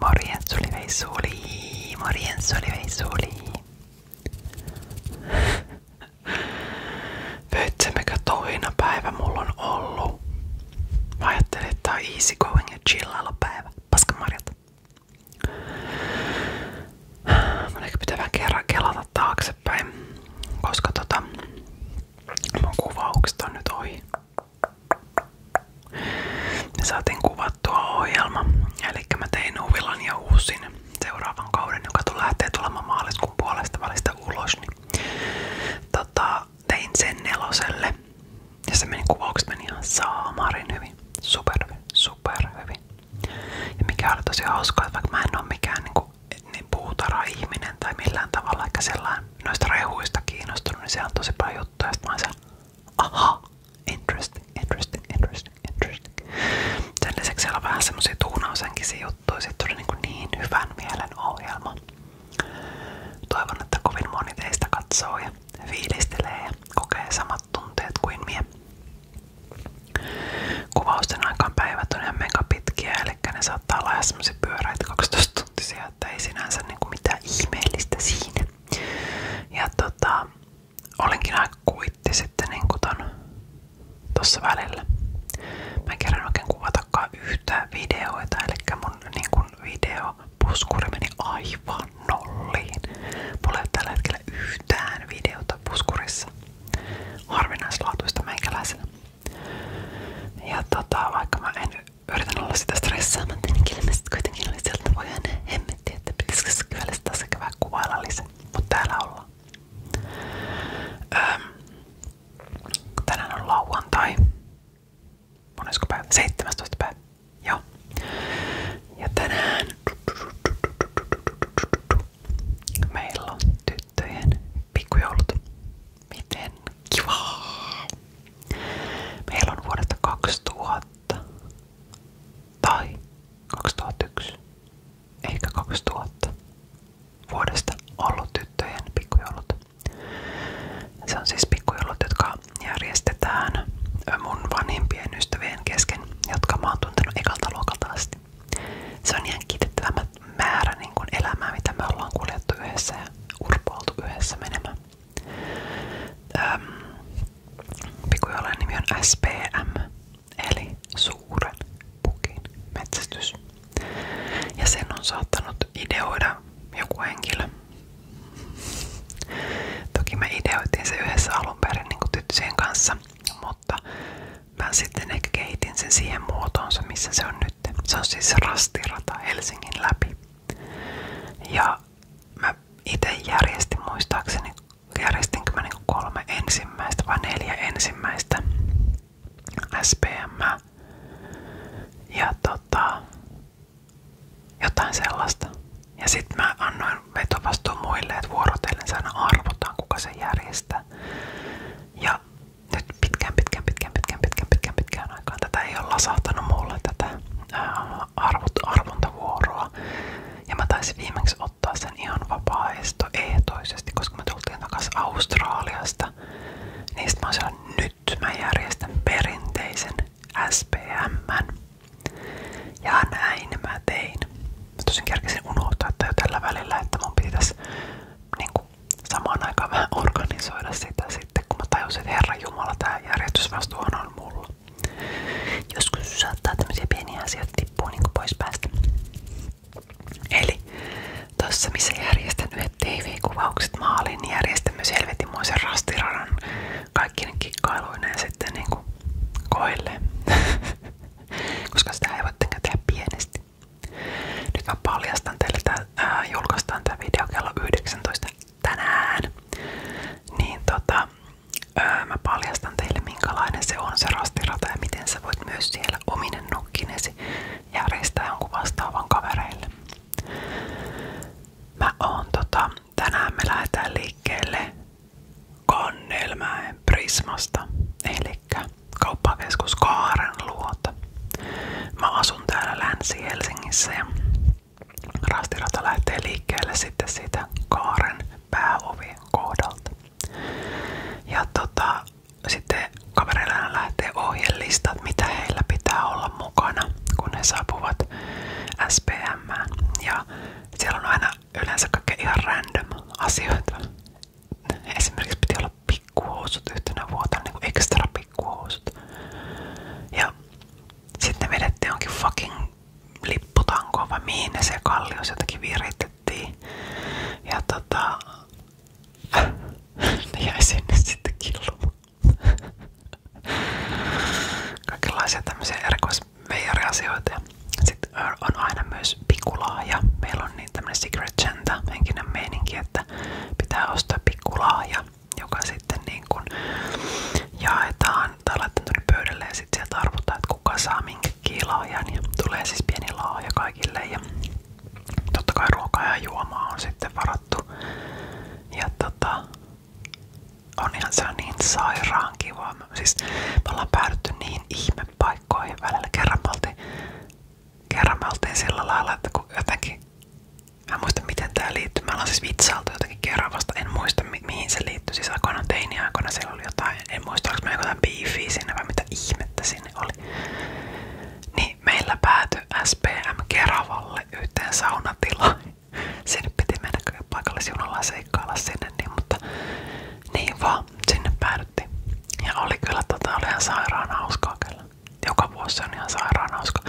Morjens Olivei Suli, morjens Olivei Suli. Pöytsemekö toina päivä mulla on ollut? ajattelin, tää on ja chillailla päivä. Paskamarjat. Mun ehkä kerran kelata taaksepäin, koska tota kuvaukset on nyt ohi. Me saatiin kuvattua ohjelma, eli mä tein Uvilan ja uusin seuraavan kauden, joka lähtee tulemaan maaliskuun puolesta välistä ulos. Niin, tota, tein sen neloselle ja se meni kuvaukset meni ihan saamarin hyvin. Super hyvin, super hyvin. Ja mikä oli tosi hauskaa, että vaikka mä en ole mikään niinku, niin puutara-ihminen tai millään tavalla, eikä sellainen noista rehuista kiinnostunut, niin siellä on tosi paljon juttuja. Sitten mä oon Aha! Interesting, interesting, interesting, interesting. Sen lisäksi siellä on vähän semmosia tuunausenkisiä niinku niin, hyvän mielen ohjelma. Toivon, että kovin moni teistä katsoo ja ja kokee samat tunteet kuin mie. Kuvausten aikaan päivät on ihan mega pitkiä, eli ne saattaa olla ihan semmosia pyöräitä 12 akuuttisia, että ei sinänsä kuin niinku mitään ihmeellistä siinä. Ja tota, olenkin aika kuitti sitten niinku ton tossa välillä. Mä en kerran oikein kuvatakaan yhtään videoita, eli mun video niinku videopuskuri meni aivan nolliin. Mulla ei tällä hetkellä yhtään videota puskurissa harvinaislaatuista meikäläisellä. Ja tota, vaikka mä en yritän olla sitä stressaamatta, niin ilmeisesti kuitenkin oli sieltä voi aina hemmetti, että pitäisikö se kyllä sitä sekä vähän kuvailla lisää. Mutta täällä ollaan. Öm, tänään on lauantai. Monesko päivä? 17 päivä. Joo. Ja tänään meillä on tyttöjen pikkujoulut. Miten kivaa! Meillä on vuodesta 2000 tai 2001 eikä 2000 vuodesta ollut tyttöjen pikkujoulut. Se on siis pikkujoulut, jotka järjestetään mun vanhempien ystävien kesken, jotka mä oon tuntenut ekalta luokalta asti. Se on ihan kiitettävä määrä niin kuin elämää, mitä me ollaan kuljettu yhdessä ja urpoiltu yhdessä menemään. Pikkujoelen nimi on SPM, eli suuren pukin metsästys. Ja sen on saattanut ideoida joku henkilö. Toki me ideoitiin se yhdessä alun perin niin tyttöjen kanssa, mutta mä sitten ehkä kehitin sen siihen muotoonsa, missä se on nyt. Se on siis rastirata Helsingin läpi. Ja mä itse järjestin muistaakseni, järjestinkö mä niinku kolme ensimmäistä vai neljä ensimmäistä SPM. Ja tota, jotain sellaista. Ja sitten mä annoin vetovastuun muille, että vuorotellen aina arvotaan, kuka se järjestää. Ja nyt pitkään, pitkään, pitkään, pitkään, pitkään, pitkään, pitkään aikaan tätä ei lasahtanut mulle tätä ää, Ja mä taisin ottaa sen ihan vapaaehtoisesti, koska me tultiin takaisin Australiasta. Niistä mä nyt mä järjestän perinteisen SPM. Ja näin mä tein. Mä tosin kerkesin unohtaa, että jo tällä välillä, että mun pitäisi niin samaan aikaan vähän organisoida sitä sitten, kun mä tajusin, että Herra Jumala, tämä järjestysvastuuhan on mulla. Joskus saattaa tämmöisiä pieniä asioita tippua niin pois päästä. Eli tossa missä järjestän yhdet TV-kuvaukset maaliin, niin järjestän myös helvetinmoisen rastiradan kaikkien kikkailuineen sitten niin kuin koille. Koska sitä ei voi tehdä pienesti. Nyt mä paljastan teille tää Äh, ää, tämä video kello 19 tänään, niin tota, mä paljastan teille minkälainen se on se rastirata ja miten sä voit myös siellä ominen nukkinesi järjestää jonkun vastaavan kavereille. Mä oon tota, tänään me lähdetään liikkeelle Kannelmäen Prismasta, eli kauppakeskus Kaaren luota. Mä asun täällä Länsi-Helsingissä ja rastirata lähtee liikkeelle sitten siitä kaaren pääovien kohdalta. Ja tota, sitten kavereilla lähtee ohjelistat, mitä heillä pitää olla mukana, kun he saapuvat SPM. Ja siellä on aina yleensä kaikkea ihan random asioita. Esimerkiksi piti olla pikkuhousut yhtenä vuotena, niinku ekstra pikkuhousut. Ja sitten ne vedettiin jonkin fucking lipputankoon vai se kallios jotenkin viritettiin. Ja tota... ne sinne sitten killumaan. Kaikenlaisia tämmöisiä erikoisveijariasioita. Sitten on aina myös pikulaaja. Meillä on niin tämmönen secret chanta henkinen meininki, että pitää ostaa pikulaaja joka sitten niin kuin jaetaan tai laitetaan tuonne pöydälle ja sitten sieltä arvotaan, että kuka saa minkäkin laajan. Ja niin tulee siis pieni laaja kaikille ja totta kai ruokaa ja juomaa on sitten varattu. Ja tota, onhan se on niin sairaan kiva. Siis me ollaan päädytty niin ihmepaikkoihin välillä. Kerran me oltiin kerran me oltiin sillä lailla, että kun jotenkin, mä en muista miten tää liittyy, mä ollaan siis vitsailtu jotenkin keravasta, en muista mi mihin se liittyy, siis aikoinaan teiniaikoina siellä oli jotain, en muista oliko mä jotain biifiä sinne vai mitä ihmettä sinne oli. Niin meillä päätyi SPM Keravalle yhteen saunatilaan. Sinne piti mennä paikallisjunalla ja seikkailla sinne, niin, mutta niin vaan sinne päädyttiin. Ja oli kyllä tota, oli ihan sairaan hauskaa kyllä. Joka vuosi on ihan sairaan hauska.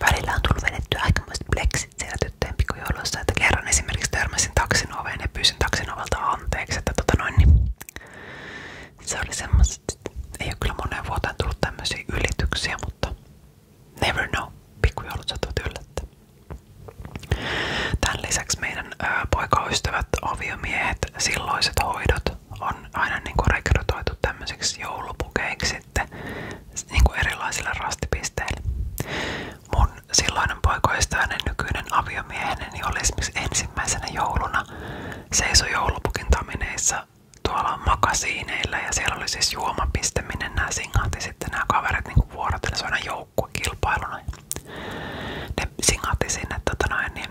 Välillä on tullut vedettyä aikamoiset pleksit siellä tyttöjen pikkujouluissa, että kerran esimerkiksi törmäsin taksin oveen ja pyysin taksin ovelta anteeksi, että tota noin niin Se oli semmoset, ei ole kyllä moneen vuoteen tullut ylityksiä, mutta never know. Pikkujoulut sattuvat yllättää. Tämän lisäksi meidän ö, poikaystävät, aviomiehet, silloiset hoidot, on aina niin kuin rekrytoitu tämmöiseksi joulupukeiksi sitten niin kuin erilaisille rastipisteille. Mun silloinen poikoistainen nykyinen aviomieheni niin oli esimerkiksi ensimmäisenä jouluna seisoi joulupukin tamineissa tuolla makasiineilla ja siellä oli siis juomapiste, minne nämä singahti sitten nämä kaverit niin vuorotellessa aina joukkuekilpailuna. Ne singahti sinne tota noin, niin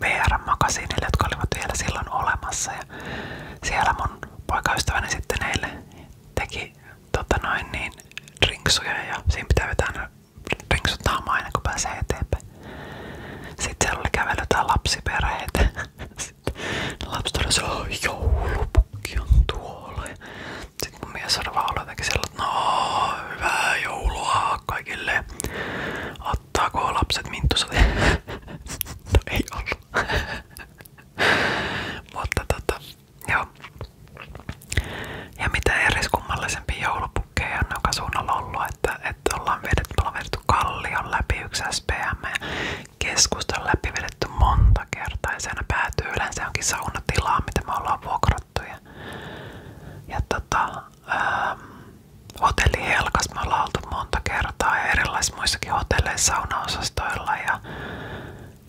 VR-makasiinille, jotka olivat vielä silloin olemassa. Ja siellä mun poikaystäväni sitten heille teki tota noin, niin, rinksuja ja siinä pitää vetää rinksut naamaa aina kun pääsee eteenpäin. Sitten siellä oli kävellyt tää sitten Lapset oli se, joulupukki on tuolla. Sitten mun mies oli vaan jotenkin sillä, että no hyvää joulua kaikille ottaako lapset minttusotia? no ei ollut. Mutta tota, joo. Ja mitä eriskummallisempia joulupukkeja on suunnalla ollut, että, että ollaan vedetty, ollaan vedetty kallion läpi yksi SPM ja keskustan läpi vedetty monta kertaa ja se aina päätyy yleensä jonkin saunatilaa, mitä me ollaan vuokrattu. Ja, ja tota, ähm, hotelli Helkas me ollaan oltu monta kertaa ja erilaisissa muissakin hotelleissa saunaosastoilla ja,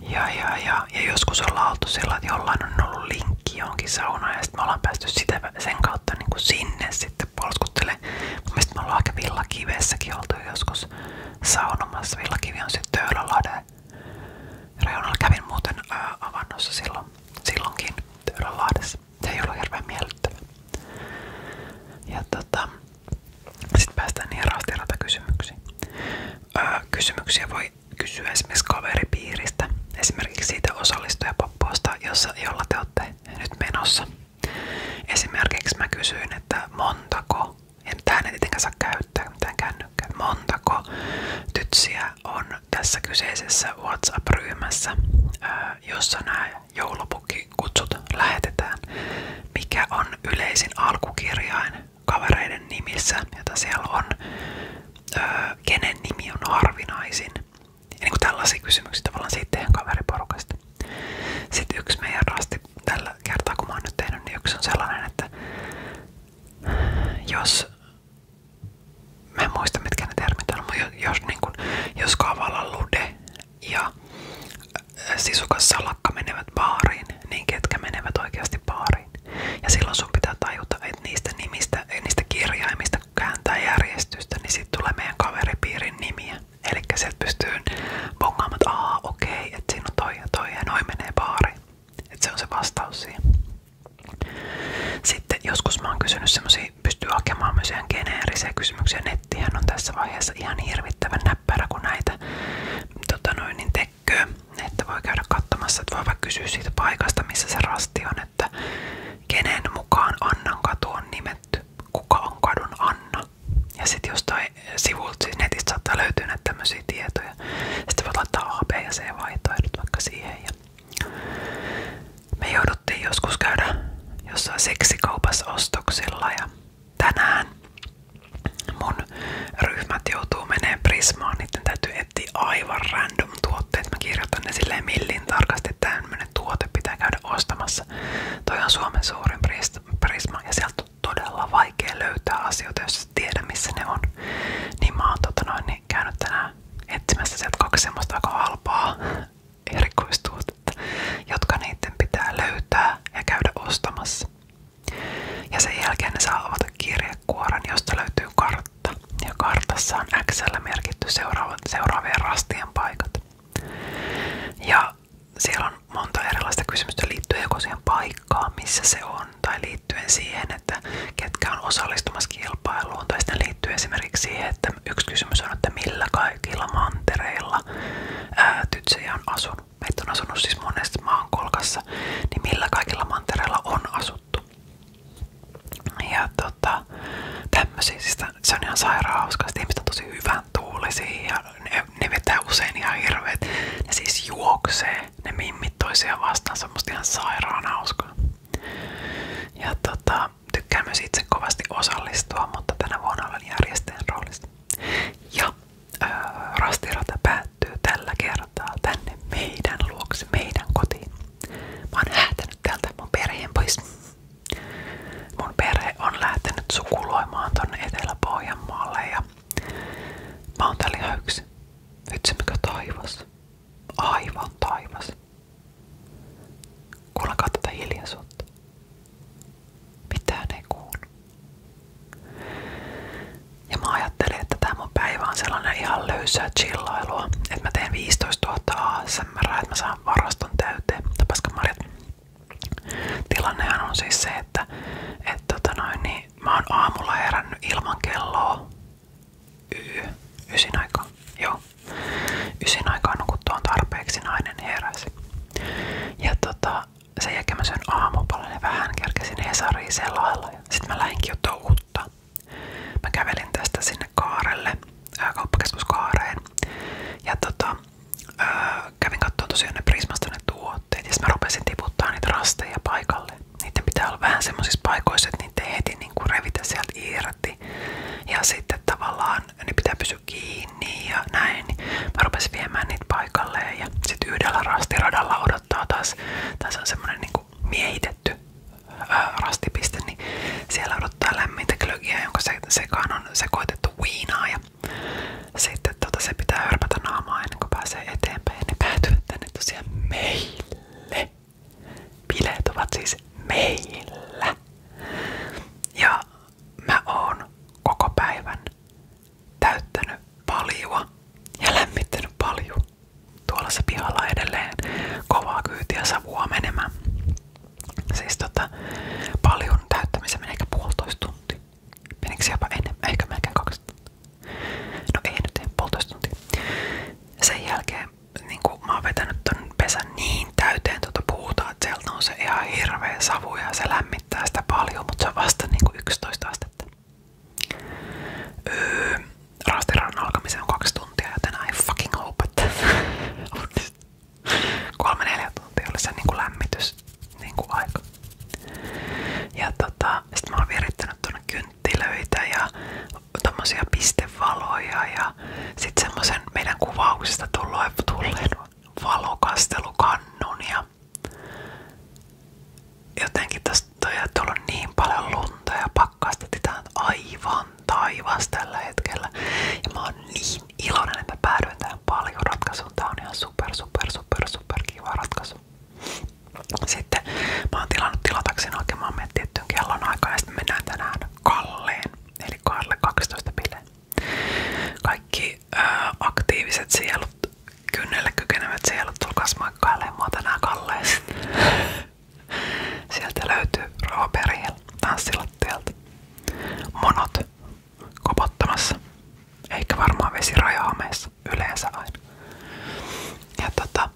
ja, ja, ja, ja joskus ollaan oltu sillä, että jollain on ollut linkki johonkin saunaan ja sitten me ollaan päästy sitä, sen kautta niin kuin sinne sitten polskuttelemaan. Mun mielestä me ollaan aika villakivessäkin oltu joskus saunomassa. Villakivi on sitten Töölölahden reunalla. Kävin muuten ää, avannossa silloin, silloinkin Töölölahdessa kanssa. Siis se ei Ja tota, sitten päästään niihin raastiratakysymyksiin. Öö, kysymyksiä voi kysyä esimerkiksi kaveripiiristä, esimerkiksi siitä osallistujapoppausta, jossa, jolla te olette nyt menossa. Esimerkiksi mä kysyin, että montako, ja tähän ei tietenkään saa käyttää montako tytsiä on tässä kyseisessä WhatsApp-ryhmässä, jossa nämä kutsut lähetetään, mikä on yleisin alkukirjain kavereiden nimissä, jota siellä on, kenen nimi on harvinaisin. Ja niin kuin tällaisia kysymyksiä tavallaan siitä teidän kaveriporukasta. Sitten yksi meidän rasti tällä kertaa, kun mä oon nyt tehnyt, niin yksi on sellainen, että jos Mä en muista mitkä ne termit on, mutta jos, niin kun, jos kaavalla lude ja äh, sisukas salakka menevät baariin, niin ketkä menevät oikeasti baariin. Ja silloin sun pitää tajuta, että niistä nimistä, niistä kirjaimista kun kääntää järjestystä, niin sit tulee meidän kaveripiirin nimiä. Eli sieltä pystyy bongaamaan, että okei, okay, että siinä on toi ja toi ja noin menee baariin. Että se on se vastaus siihen. Sitten joskus mä oon kysynyt semmoisia pystyy hakemaan myös ihan geneerisiä kysymyksiä. Nettihän on tässä vaiheessa ihan hirvittävän näppärä, kuin näitä tota noin, niin tekköö. Että voi käydä katsomassa, että voi vaikka kysyä siitä paikasta, missä se rasti on, että kenen mukaan Annan katu on nimetty, kuka on kadun Anna. Ja sitten jostain sivulta siis netistä saattaa löytyä näitä tämmöisiä tietoja. Sitten voit laittaa A, B ja C vaihtoehdot vaikka siihen. Ja me jouduttiin joskus käydä jossain seksikaupassa ostoksilla ja tänään mun ryhmät joutuu menee Prismaan, niiden täytyy etsiä aivan random tuotteet. Mä kirjoitan ne silleen millin tarkasti, että tuote pitää käydä ostamassa. Toi Suomen suurin Prisma ja sieltä on todella vaikea löytää asioita, jos tiedä missä ne on. Niin mä oon tota noin, niin niin käynyt tänään etsimässä sieltä halpaa erikoistuotetta, jotka niiden pitää löytää ja käydä ostamassa. Ja sen jälkeen ne saa avata kirjekuoren, josta löytyy kartta. Ja kartassa on Xllä merkitty seuraava, seuraavien rastien paikat. Ja siellä on monta erilaista kysymystä liittyen siihen paikkaan, missä se on, tai liittyen siihen, että ketkä on osallistumassa kilpailuun, tai sitten liittyy esimerkiksi siihen, että yksi kysymys on, että millä kaikilla mantereilla ää, tytsejä on asunut. Meitä on asunut siis monessa maankolkassa, niin millä kaikilla mantereilla on asuttu. Ja tota, tämmöisiä, siis se on ihan sairaan hauska, ihmiset on tosi hyvän tuulisia ja ne, ne vetää usein ihan hirveet. Ne siis juoksee, ne mimmit toisiaan vastaan, on ihan sairaan hauskaa. Ja tota, Tota, tykkään myös itse kovasti osallistua, mutta tänä vuonna olen järjestäjän roolissa. Ja öö, rastirata päättyy tällä kertaa tänne meidän luoksi, meidän kotiin. Mä oon häätänyt täältä mun perheen pois. Mun perhe on lähtenyt sukuloimaan tonne Etelä-Pohjanmaalle ja mä oon täällä ihan yksin. Vitsi mikä taivas. Aivan taivas taas. Kuullakaa tätä hiljaisuutta. Mitään ei kuulu. Ja mä ajattelin, että tämä mun päivä on sellainen ihan löysää chillailua, että mä teen 15 000 ASMR, että mä saan varaston täyteen. Tapaskan Tilannehan on siis se, että et, tota noin, niin, mä oon aamulla herännyt ilman kelloa Y, ysin joo. Ysin on tarpeeksi nainen heräsi. Ja tota, sen jälkeen mä syön aamupalalle vähän kerkesin Hesariin selailla ja mä lähinkin jo Mä kävelin tästä sinne kaarelle, ää, Ja tota, kävin katsomaan Prismasta ne tuotteet mä rupesin tiputtaa niitä paikalle. Niiden pitää olla vähän semmoisissa paikoissa, että niitä ei heti kuin niinku revitä sieltä irti kontakti. Ja sitten tavallaan ne pitää pysyä kiinni ja näin. Mä rupesin viemään niitä paikalleen ja sitten yhdellä rastiradalla odottaa taas. Tässä on semmoinen niinku miehitetty ää, rastipiste, niin siellä odottaa lämmintä klögiä, jonka se, sekaan on sekoitettu viinaa. Ja sitten tota, se pitää hörpätä naamaa ennen kuin pääsee eteenpäin. niin ne päätyvät tänne tosiaan meille. Bileet ovat siis meillä. Ja mä oon koko päivän täyttänyt paljon ja lämmittänyt paljon. Tuolla se pihalla edelleen kovaa kyytiä savua menemään. Siis tota, paljon täyttämisen menee ehkä puolitoista tuntia. Menikö jopa enemmän? kaksi No ei nyt, puolitoista tuntia. Sen niinku, mä oon vetänyt ton pesän niin täyteen tuota puuta, että sieltä on se ihan hirveä savu ja se lämmittää sitä paljon, mutta se on vasta niinku 11 astetta. Öö, Rastirannan alkamiseen on kaksi tuntia, joten I fucking hope, että kolme neljä tuntia oli se niinku lämmitys niinku aika. Ja tota, sit mä oon virittänyt tuonne kynttilöitä ja tommosia pistevaloja ja sit semmosen meidän kuvauksesta tulleen valokastelukannun ja jotenkin tosta on tullut niin paljon lunta ja pakkasta titään aivan taivas tällä hetkellä ja mä oon niin iloinen, että päädyin tähän paljon ratkaisuun. Tää on ihan super super super super kiva ratkaisu. Sitten mä tilatakseni hakemaan meidät tiettyyn kellon mennään tänään Kalleen, eli Kalle 12 bileen. Kaikki aktiiviset sielut, kynnelle kykenevät sielut, tulkaas moikkailemaan mua tänään Sieltä löytyy Roberil Monot kopottamassa, eikä varmaan vesirajahameessa yleensä aina. Ja tota,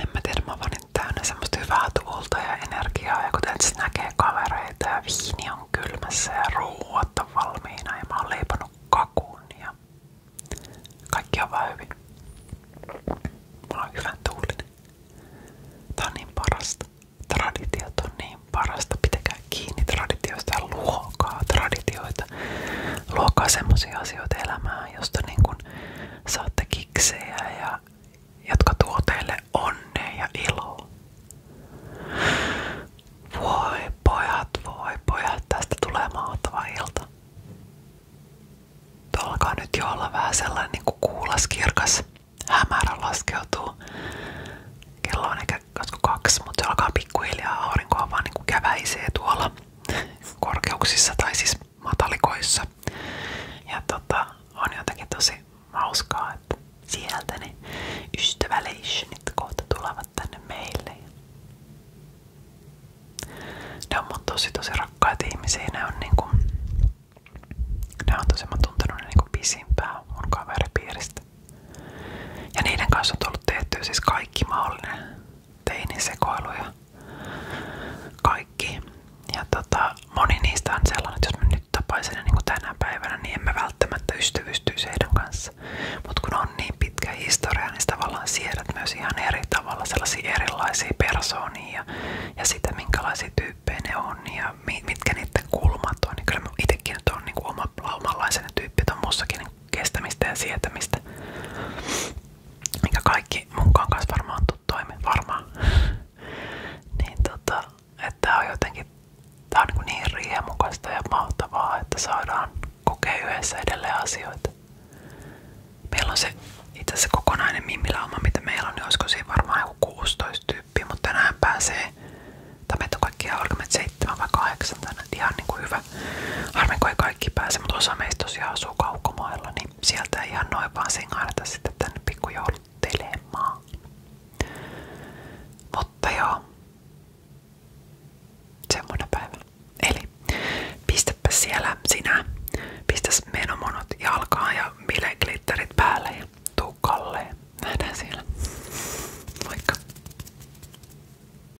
en mä tiedä, mä oon vaan täynnä semmoista hyvää tuulta ja energiaa ja kuten sit näkee kavereita ja viini on kylmässä ja ruuat on valmiina ja mä oon leiponut kakun ja kaikki on vaan hyvin. Mulla on hyvän tuulinen. Tää on niin parasta. Traditiot on niin parasta. Pitäkää kiinni traditioista ja luokaa traditioita luokaa semmoisia asioita elämään, josta niin kun saatte kiksejä ja jotka tuo teille onnea ja iloa. Voi pojat, voi pojat, tästä tulee mahtava ilta. Tuo alkaa nyt jo olla vähän sellainen niin kuin kuulas, kirkas, hämärä laskeutuu. Kello on ehkä kaksi, mutta se alkaa pikkuhiljaa aurinkoa vaan niin kuin käväisee tuolla korkeuksissa tai siis matalikoissa. Ja tota, on jotenkin tosi hauskaa, että sieltä ne ystäväleitionit kohta tulevat tänne meille. Ne on mun tosi tosi rakkaita ihmisiä. Ne on niinku, ne on tosi, mä oon tuntenut niinku pisimpää mun kaveripiiristä. Ja niiden kanssa on tullut tehtyä siis kaikki mahdollinen teinisekoiluja. Kaikki. Ja tota, moni niistä on sellainen, että jos mä nyt tapaisin ne niin päivänä, niin emme välttämättä ystävystyisi heidän kanssa. Mutta kun on niin pitkä historia, niin tavallaan siedät myös ihan eri tavalla sellaisia erilaisia persoonia ja, ja sitä, minkälaisia mitkä niiden kulmat on. Niin kyllä itsekin nyt on niin kuin oma, omanlaisena tyyppi, on muussakin niin kestämistä ja sietämistä. Mikä kaikki munkaan kanssa varmaan toimi, varmaan. niin tota, että tää on jotenkin tää on niinku niin, niin riemukasta ja mahtavaa, että saadaan kokea yhdessä edelleen asioita. Meillä on se itse asiassa kokonainen mimilauma, mitä meillä on, niin olisiko siinä varmaan joku 16 tyyppiä, mutta tänään pääsee, tai meitä on kaikkia 7 vai 8 tänne. Ihan niinku hyvä. Harmin kun ei kaikki pääse, mutta osa meistä tosiaan asuu kaukomailla, niin sieltä ei ihan noin vaan singahdeta sitten tänne pikkujouluttelemaan. Mutta joo. Semmoinen päivä. Eli pistäpä siellä sinä, pistäs menomonot jalkaan ja bileglitterit päälle ja tuu kalleen. Nähdään siellä. Moikka!